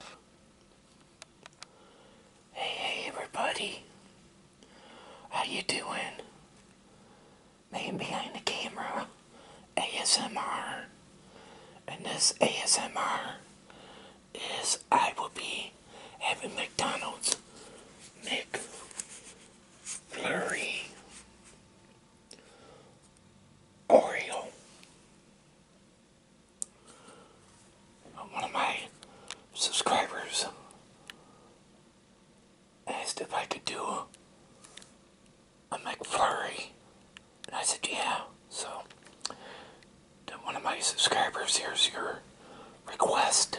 Hey, hey, everybody. How you doing? Man behind the camera, ASMR. And this ASMR is I will be having McDonald's McFlurry Oreo one of my subscribers asked if I could do a McFlurry, and I said yeah. So, one of my subscribers, here's your request.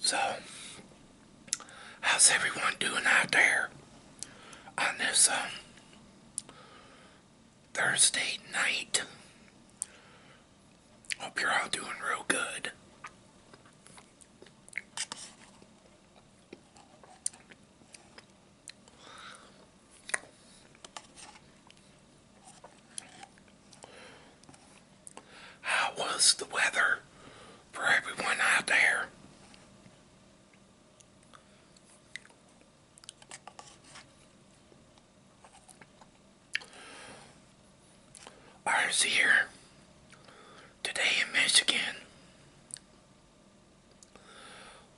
So, how's everyone doing out there on this um, Thursday night? Hope you're all doing real good. How was the weather for everyone out there? Ours here today in Michigan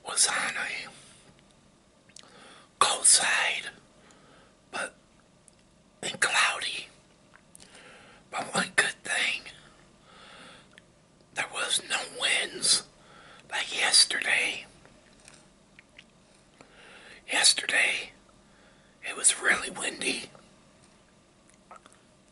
was on a cold side, but and cloudy. But one good thing, there was no winds like yesterday. Yesterday, it was really windy.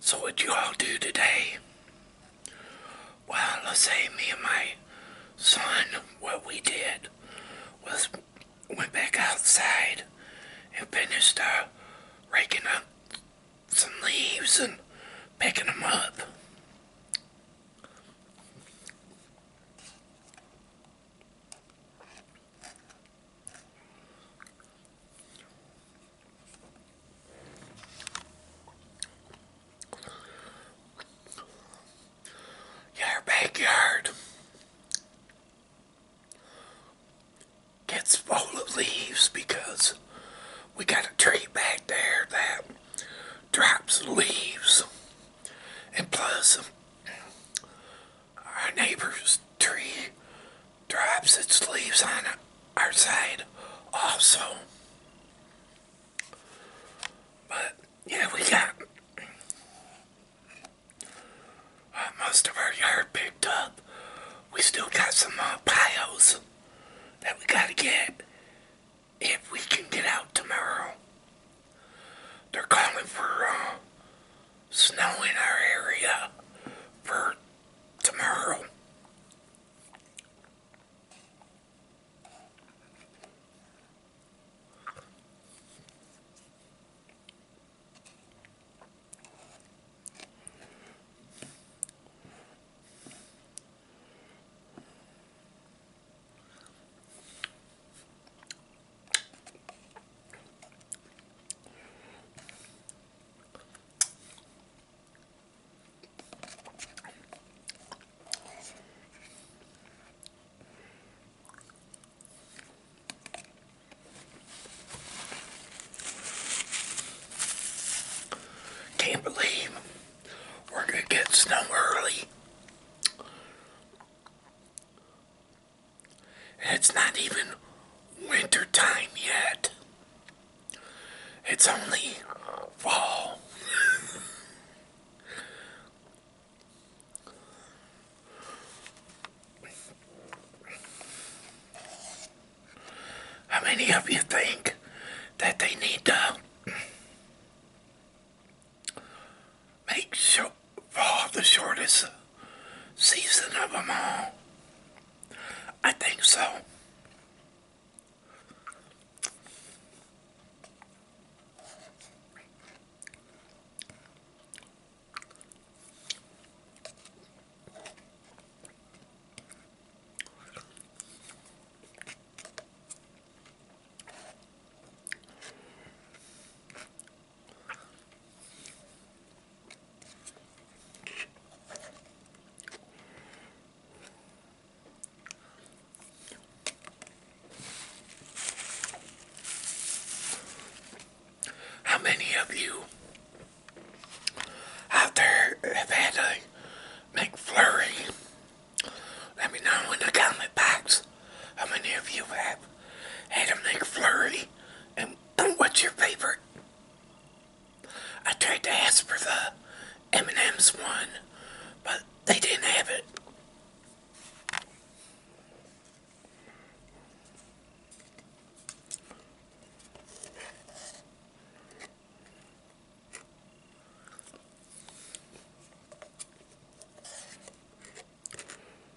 So what you all do today? Well, let's say me and my son, what we did was went back outside and finished uh, raking up some leaves and picking them up. Your backyard gets full of leaves because we got a tree back there that drops leaves. And plus, our neighbor's tree drops its leaves on our side also. But yeah, we got most of our yard picked up. We still got some uh, piles that we gotta get if we can get out tomorrow. They're calling for uh, snow in our area for tomorrow. Can't believe we're going to get snow early. It's not even winter time yet. It's only fall. How many of you think that they need to make sure fall the shortest season of them all? I think so. How many of you out there have had a McFlurry? Let me know in the comment box. How many of you have had a McFlurry? And what's your favorite? I tried to ask for the M&M's one, but they didn't have it.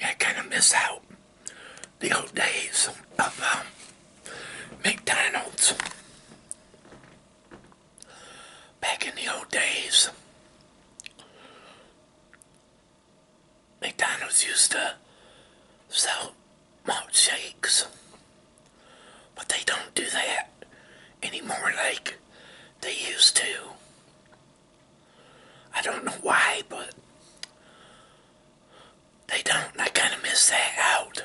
Yeah, I kind of miss out the old days of um, McDonald's. Back in the old days, McDonald's used to sell malt shakes, but they don't do that anymore like they used to. I don't know why, but they don't, I kind of miss that out.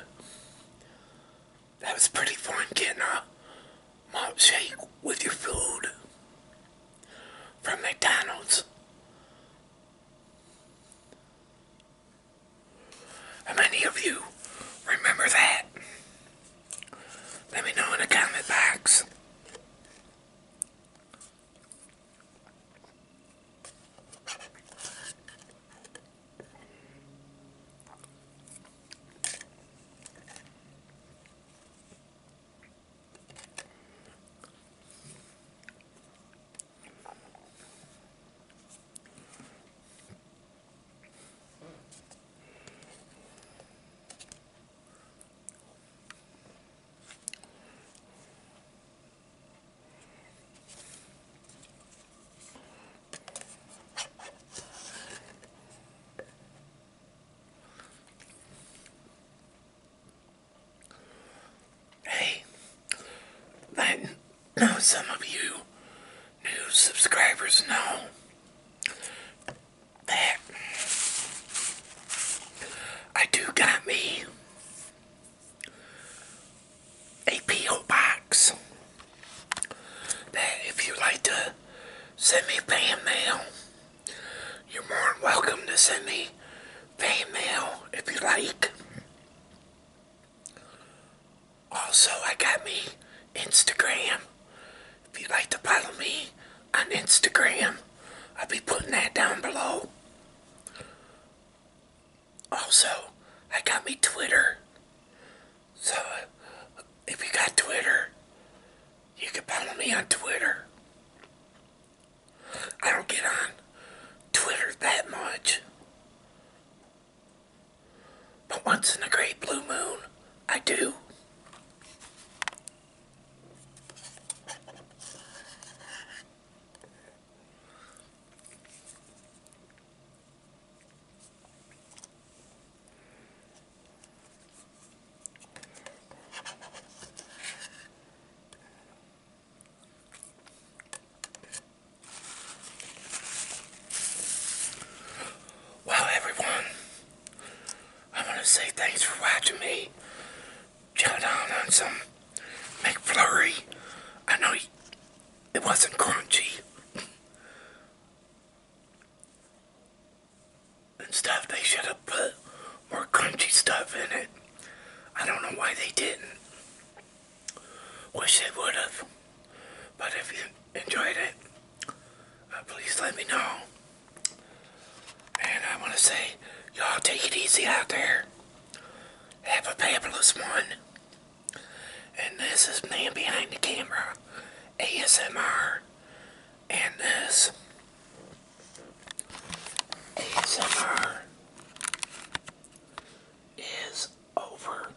That was pretty fun getting a malt shake with your food from McDonald's. How many of you remember that? Let me know in the comment box. Hey, I some of you new subscribers know I do got me a P.O. box that if you like to send me fan mail, you're more than welcome to send me fan mail if you like. Also, I got me Instagram if you'd like to follow me on Instagram, I'll be putting that down below. Also, I got me Twitter. So, uh, if you got Twitter, you can follow me on Twitter. I don't get on Twitter that much. But once in a great blue moon, I do. Well, everyone, I want to say thanks for watching me. Chow on some McFlurry. I know it wasn't crunchy. and stuff. They should have put more crunchy stuff in it. I don't know why they didn't. Wish they would have. But if you enjoyed it, uh, please let me know. And I want to say, y'all take it easy out there. Have a fabulous one. And this is Man Behind the Camera, ASMR. And this, ASMR, is over.